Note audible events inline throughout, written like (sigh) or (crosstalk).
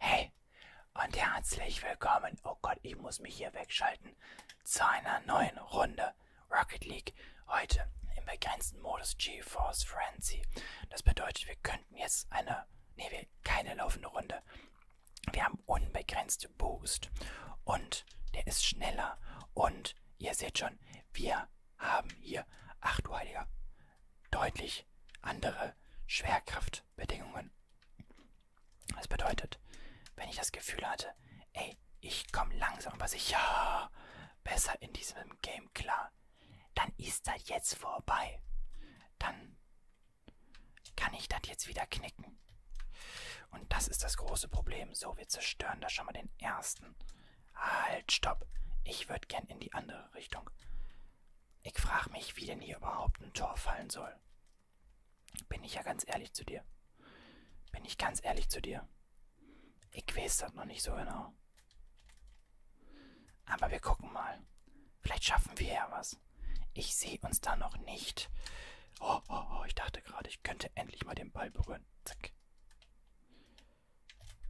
Hey und herzlich willkommen. Oh Gott, ich muss mich hier wegschalten. Zu einer neuen Runde Rocket League. Heute im begrenzten Modus GeForce Frenzy. Das bedeutet, wir könnten jetzt eine, nee, keine laufende Runde. Wir haben unbegrenzte Boost und der ist schneller und ihr seht schon, wir haben hier, ach du Heiliger, deutlich andere Schwerkraftbedingungen. Das bedeutet, wenn ich das Gefühl hatte, ey, ich komme langsam aber sicher besser in diesem Game klar, dann ist das jetzt vorbei. Dann kann ich das jetzt wieder knicken. Und das ist das große Problem. So, wir zerstören da schon mal den ersten. Halt, stopp. Ich würde gern in die andere Richtung. Ich frage mich, wie denn hier überhaupt ein Tor fallen soll. Bin ich ja ganz ehrlich zu dir. Bin ich ganz ehrlich zu dir. Ich weiß das noch nicht so genau. Aber wir gucken mal. Vielleicht schaffen wir ja was. Ich sehe uns da noch nicht. Oh, oh, oh, ich dachte gerade, ich könnte endlich mal den Ball berühren. Zack.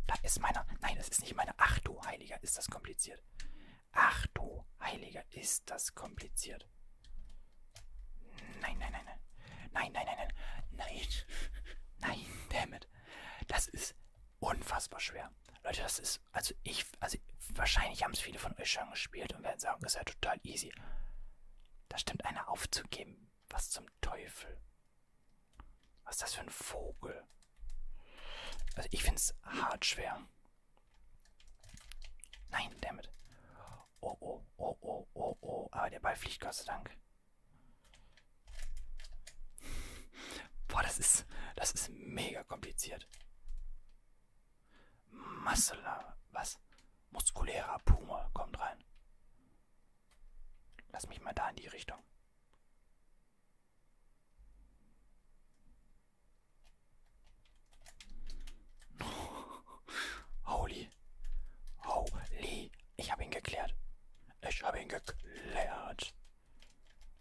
Da ist meiner. Nein, das ist nicht meiner. Ach du Heiliger, ist das kompliziert. Ach du Heiliger, ist das kompliziert. Nein, nein, nein, nein. Nein, nein, nein, nein. Nein. Nein, damit. Das ist unfassbar schwer. Leute, das ist, also ich, also wahrscheinlich haben es viele von euch schon gespielt und werden sagen, das ist ja total easy. Da stimmt einer aufzugeben. Was zum Teufel. Was ist das für ein Vogel? Also ich finde es hart schwer. Nein, damit. Oh, oh, oh, oh, oh, oh. Aber ah, der Ball fliegt, Gott sei Dank. Boah, das ist, das ist mega kompliziert. Muscular, was? Muskulärer Puma kommt rein. Lass mich mal da in die Richtung. (laughs) Holy. Holy. Ich habe ihn geklärt. Ich habe ihn geklärt.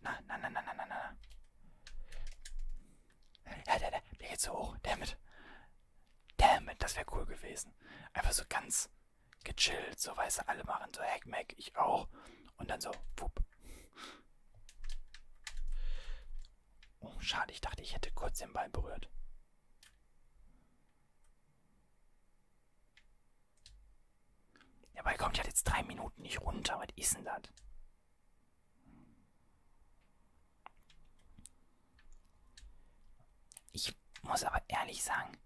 Na, na, na, na, na, na, na. Ja, der, der, der geht so hoch. Damit. Damit, das wäre cool gewesen. Einfach so ganz gechillt, so weißt du, alle machen so Hackmack, ich auch. Und dann so, wupp. Oh, schade, ich dachte, ich hätte kurz den Ball berührt. Der Ball kommt ja jetzt drei Minuten nicht runter. Was ist denn das? Ich muss aber ehrlich sagen,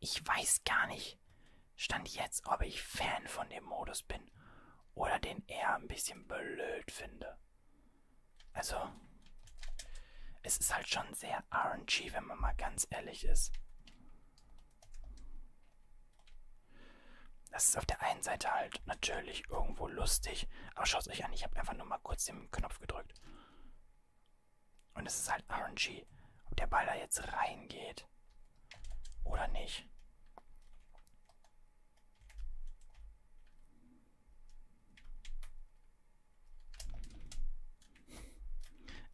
ich weiß gar nicht, stand jetzt, ob ich Fan von dem Modus bin oder den eher ein bisschen blöd finde. Also, es ist halt schon sehr RNG, wenn man mal ganz ehrlich ist. Das ist auf der einen Seite halt natürlich irgendwo lustig, aber schaut euch an, ich habe einfach nur mal kurz den Knopf gedrückt. Und es ist halt RNG, ob der Ball da jetzt reingeht oder nicht.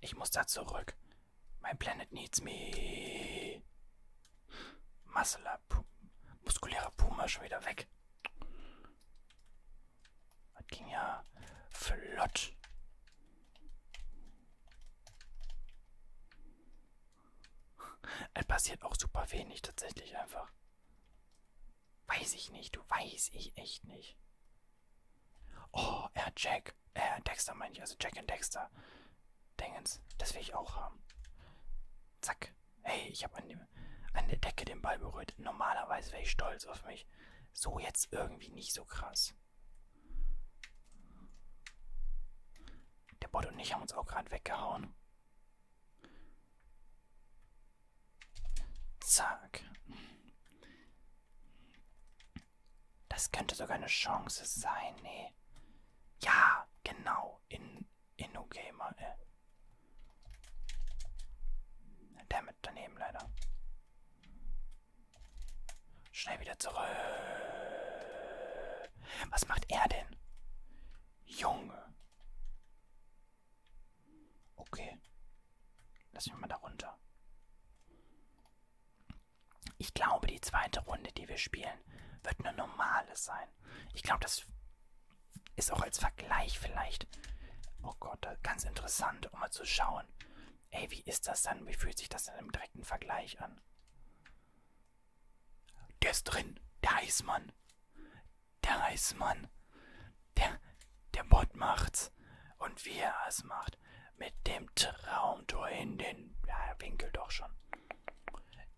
Ich muss da zurück. My planet needs me. Muscular, muskulärer Puma schon wieder weg. Das ging ja flott. Es passiert auch super wenig tatsächlich einfach. Weiß ich nicht, du weiß ich echt nicht. Oh, er Jack. Äh, Dexter meine ich, also Jack und Dexter. Dingens, das will ich auch haben. Zack. Hey, ich habe an, dem, an der Decke den Ball berührt. Normalerweise wäre ich stolz auf mich. So jetzt irgendwie nicht so krass. Der Bot und ich haben uns auch gerade weggehauen. Zack. Das könnte sogar eine Chance sein. Nee. Ja, genau. In, Inno Gamer. Äh. Damit daneben leider. Schnell wieder zurück. Was macht er denn? Junge. Okay. Lass mich mal da runter. Ich glaube, die zweite Runde, die wir spielen, wird eine normale sein. Ich glaube, das ist auch als Vergleich vielleicht. Oh Gott, äh, ganz interessant, um mal zu schauen. Ey, wie ist das dann? Wie fühlt sich das dann im direkten Vergleich an? Der ist drin. Der Eismann. Der Eismann. Der, der Bot macht's. Und wie er es macht. Mit dem Traumtor in den... Ja, Winkel doch schon.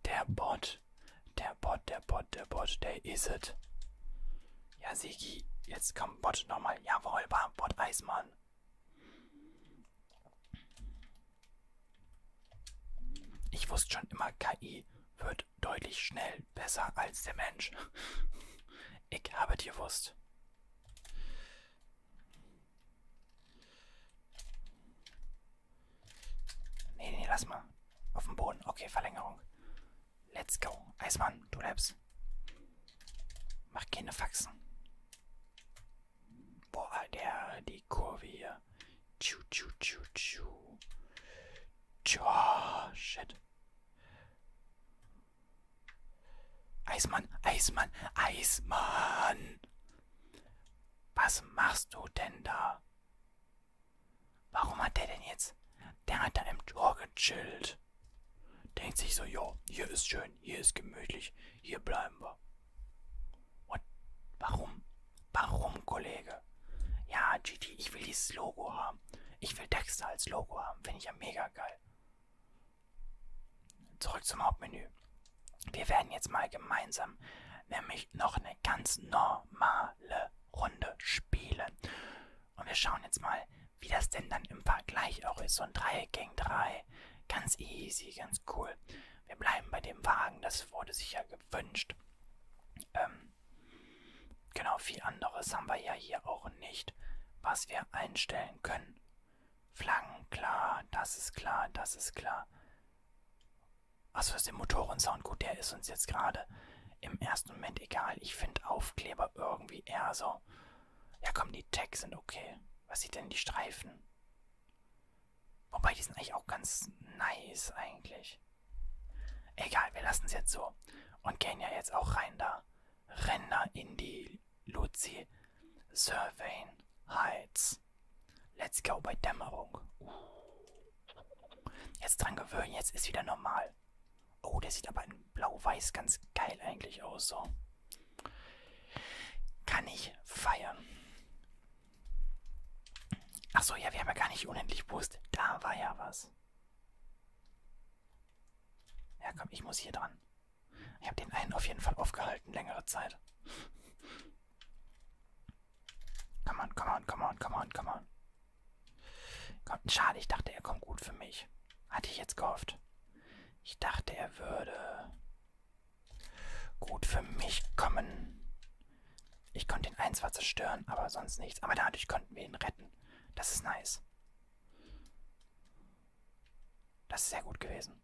Der Bot Bot. Der Bot, der Bot, der Bot, der ist es. Ja, Sigi, jetzt kommt Bot nochmal. Jawohl, bam, Bot Eismann. Ich wusste schon immer, KI wird deutlich schnell besser als der Mensch. (laughs) Ich habe dir gewusst. Nee, nee, lass mal. Auf dem Boden. Okay, Verlängerung. Let's go. Eismann, du lebst. Mach keine Faxen. Boah, der, die Kurve hier. Tschu, tschu, tschu, tschu. Tschu, oh, shit. Eismann, Eismann, Eismann. Was machst du denn da? Warum hat der denn jetzt? Der hat da im Tor gechillt. Denkt sich so, jo, hier ist schön, hier ist gemütlich, hier bleiben wir. Und warum? Warum, Kollege? Ja, GT, ich will dieses Logo haben. Ich will Dexter als Logo haben. Finde ich ja mega geil. Zurück zum Hauptmenü. Wir werden jetzt mal gemeinsam nämlich noch eine ganz normale eine Runde spielen. Und wir schauen jetzt mal, wie das denn dann im Vergleich auch ist. So ein 3 gegen 3. Ganz easy, ganz cool. Wir bleiben bei dem Wagen, das wurde sich ja gewünscht. Ähm, genau, viel anderes haben wir ja hier auch nicht, was wir einstellen können. Flaggen, klar, das ist klar, das ist klar. Also ist der Motorensound gut, der ist uns jetzt gerade im ersten Moment egal. Ich finde Aufkleber irgendwie eher so. Ja komm, die Tags sind okay. Was sieht denn die Streifen? Wobei, die sind eigentlich auch ganz nice eigentlich. Egal, wir lassen es jetzt so. Und gehen ja jetzt auch rein da. Ränder in die Luzi Surveyn Heights. Let's go bei Dämmerung. Jetzt dran gewöhnen, jetzt ist wieder normal. Oh, der sieht aber in blau-weiß ganz geil eigentlich aus, so. Kann ich feiern. Achso, ja, wir haben ja gar nicht unendlich Brust. Da war ja was. Ja, komm, ich muss hier dran. Ich habe den einen auf jeden Fall aufgehalten, längere Zeit. Come on, come on, come on, come on, come on. Kommt, schade, ich dachte, er kommt gut für mich. Hatte ich jetzt gehofft. Ich dachte, er würde gut für mich kommen. Ich konnte ihn ein zwar zerstören, aber sonst nichts. Aber dadurch konnten wir ihn retten. Das ist nice. Das ist sehr gut gewesen.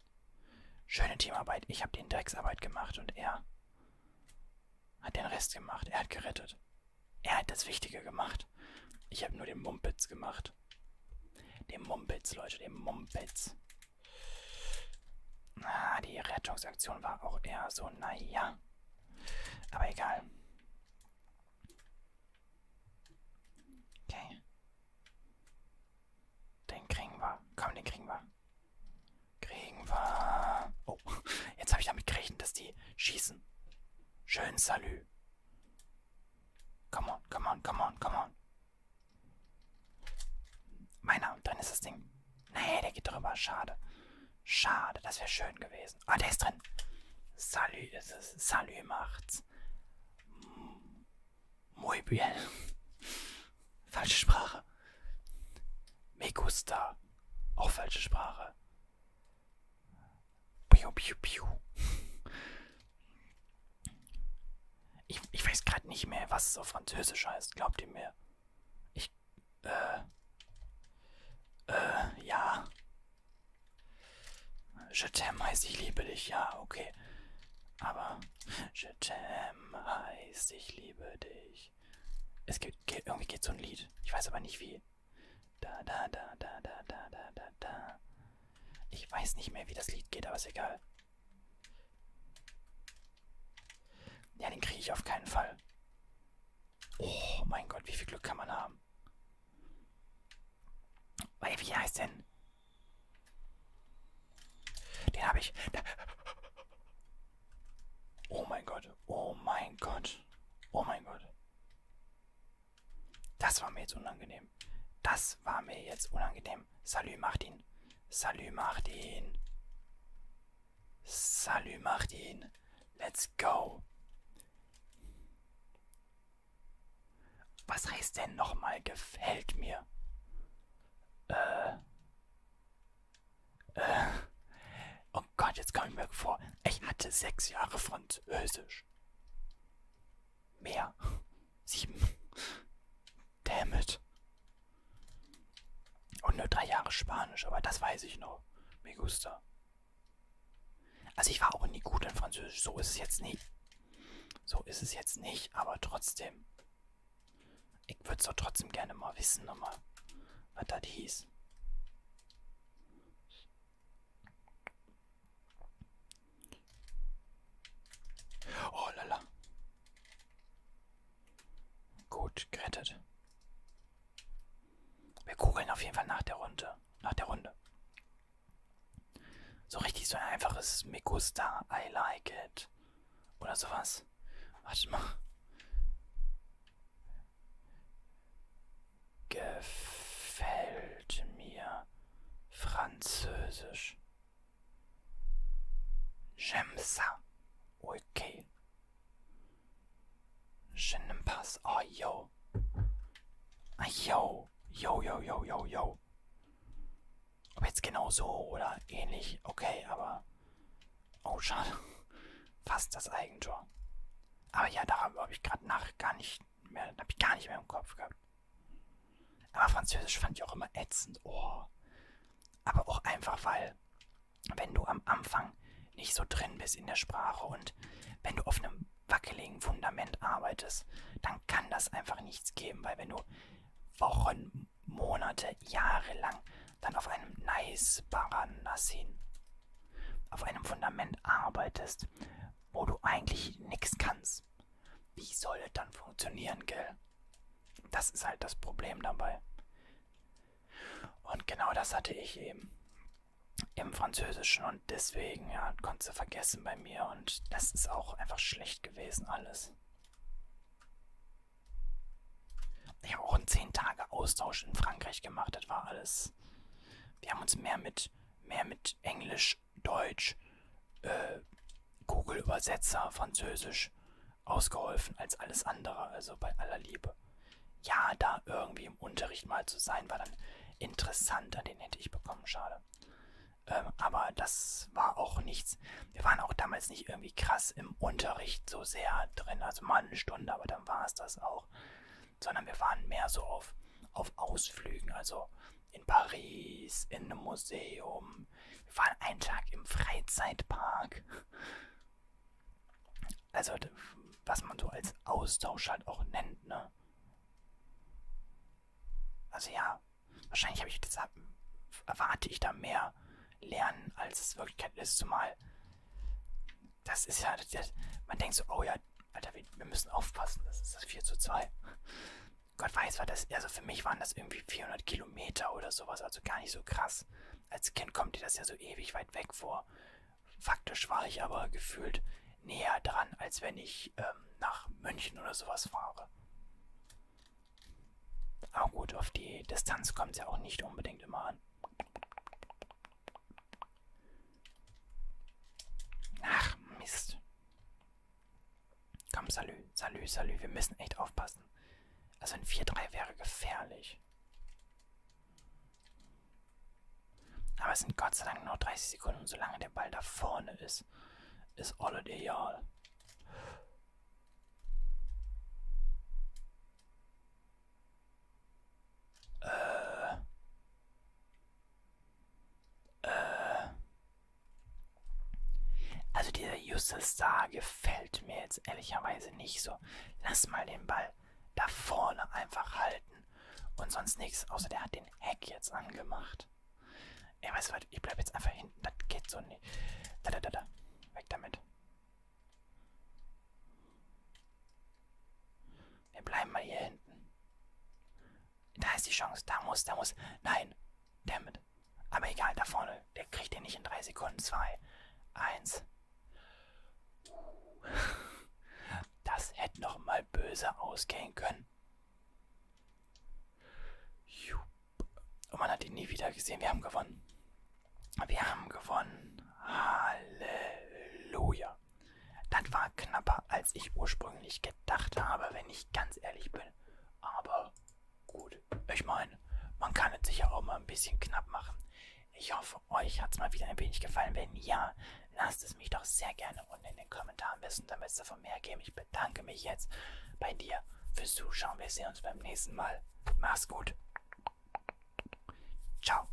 Schöne Teamarbeit. Ich habe die Drecksarbeit gemacht und er hat den Rest gemacht. Er hat gerettet. Er hat das Wichtige gemacht. Ich habe nur den Mumpitz gemacht. Den Mumpitz, Leute, den Mumpitz. Ah, die Rettungsaktion war auch eher so, naja. Aber egal. Okay. Den kriegen wir. Komm, den kriegen wir. Kriegen wir. Oh, jetzt habe ich damit gerechnet, dass die schießen. Schön Salü. Come on, come on, come on, come on. Meiner, und drin ist das Ding. Nee, der geht drüber. Schade. Schade, das wäre schön gewesen. Ah, der ist drin. Salü ist es. Salü macht's. Muy bien. Falsche Sprache. Me gusta. Auch falsche Sprache. Piu, piu, piu. Ich, ich weiß gerade nicht mehr, was es auf Französisch heißt. Glaubt ihr mir? Ich. Äh. Äh, ja. Je t'aime heißt ich liebe dich, ja, okay. Aber. Je Flasche Jam heißt Ich liebe dich. Es gibt, irgendwie geht so ein Lied. Ich weiß aber nicht wie. Da, da, da, da, da, da, da, da, da. Ich weiß nicht mehr, wie das Lied geht, aber ist egal. Ja, den kriege ich auf keinen Fall. Oh mein Gott, wie viel Glück kann man haben? Wie heißt denn? Den habe ich. Oh mein Gott. Oh mein Gott. Oh mein Gott. Das war mir jetzt unangenehm. Das war mir jetzt unangenehm. Salü, macht ihn. Salü, macht ihn. Salü, macht ihn. Let's go. Was heißt denn nochmal gefällt mir? Äh. Äh. Oh Gott, jetzt komme ich mir vor. Ich hatte sechs Jahre Französisch. Mehr. Sieben. Damn it. Und nur drei Jahre Spanisch, aber das weiß ich noch. Me gusta. Also ich war auch nie gut in Französisch, so ist es jetzt nicht. So ist es jetzt nicht, aber trotzdem. Ich würde es doch trotzdem gerne mal wissen, nochmal, was das hieß. Oh lala. Gut, gerettet. Wir googeln auf jeden Fall nach der Runde. Nach der Runde. So richtig so ein einfaches Me gusta, I like it. Oder sowas. Warte mal. Gefällt mir Französisch. J'aime ça. Okay. Je n'aime pas ça. Oh, yo. Ah, yo. Yo, yo, yo, yo, yo so. Ob jetzt genau so oder ähnlich, okay, aber... Oh, schade. Fast das Eigentor. Aber ja, darüber habe ich gerade nach gar nicht mehr, habe ich gar nicht mehr im Kopf gehabt. Aber Französisch fand ich auch immer ätzend. Oh. Aber auch einfach, weil, wenn du am Anfang nicht so drin bist in der Sprache und wenn du auf einem wackeligen Fundament arbeitest, dann kann das einfach nichts geben, weil wenn du Wochen, Monate, Jahre lang dann auf einem nice Baranassin, auf einem Fundament arbeitest, wo du eigentlich nichts kannst, wie soll es dann funktionieren, gell? Das ist halt das Problem dabei. Und genau das hatte ich eben im Französischen und und deswegen, ja, konntest du vergessen bei mir. Und das ist auch einfach schlecht gewesen alles. Ich habe auch einen 10 Tage Austausch in Frankreich gemacht. Das war alles. Wir haben uns mehr mit, mehr mit Englisch, Deutsch, äh, Google Übersetzer, Französisch ausgeholfen als alles andere. Also bei aller Liebe. Ja, da irgendwie im Unterricht mal zu sein, war dann interessant. An den hätte ich bekommen. Schade. Ähm, aber das war auch nichts. Wir waren auch damals nicht irgendwie krass im Unterricht so sehr drin. Also mal eine Stunde, aber dann war es das auch. Sondern wir waren mehr so auf, auf Ausflügen. Also in Paris, in einem Museum. Wir waren einen Tag im Freizeitpark. Also was man so als Austausch halt auch nennt, ne? Also ja, wahrscheinlich habe ich das, erwarte ich da mehr Lernen, als es Wirklichkeit ist, zumal das ist ja, das, das, man denkt so, oh ja, Alter, wir, wir müssen aufpassen, das ist das 4 zu 2. Gott weiß, war das, also für mich waren das irgendwie 400 Kilometer oder sowas, also gar nicht so krass. Als Kind kommt dir das ja so ewig weit weg vor. Faktisch war ich aber gefühlt näher dran, als wenn ich ähm, nach München oder sowas fahre. Aber gut, auf die Distanz kommt es ja auch nicht unbedingt immer an. Ach, Mist. Komm, salü, salü, salü. Wir müssen echt aufpassen. Also ein 4-3 wäre gefährlich. Aber es sind Gott sei Dank nur 30 Sekunden. Und solange der Ball da vorne ist, ist all ideal. Äh. Äh. Also dieser Justus Star gefällt mir jetzt ehrlicherweise nicht so. Lass mal den Ball da vorne einfach halten und sonst nichts, außer der hat den Hack jetzt angemacht. Ey, weißt du was, ich bleib jetzt einfach hinten, das geht so nicht. Da, da, da, da, weg damit. Wir bleiben mal hier hinten. Da ist die Chance, da muss, da muss, nein, damit. Aber egal, da vorne, der kriegt den nicht in 3 Sekunden, 2, 1... Das hätte noch mal böse ausgehen können. Und oh, man hat ihn nie wieder gesehen. Wir haben gewonnen. Wir haben gewonnen. Halleluja. Das war knapper, als ich ursprünglich gedacht habe, wenn ich ganz ehrlich bin. Aber gut, ich meine, man kann es sicher auch mal ein bisschen knapp machen. Ich hoffe, euch hat es mal wieder ein wenig gefallen. Wenn ja, lasst es mich doch sehr gerne unten in den Kommentaren wissen, damit es davon mehr geben. Ich bedanke mich jetzt bei dir fürs Zuschauen. Wir sehen uns beim nächsten Mal. Mach's gut. Ciao.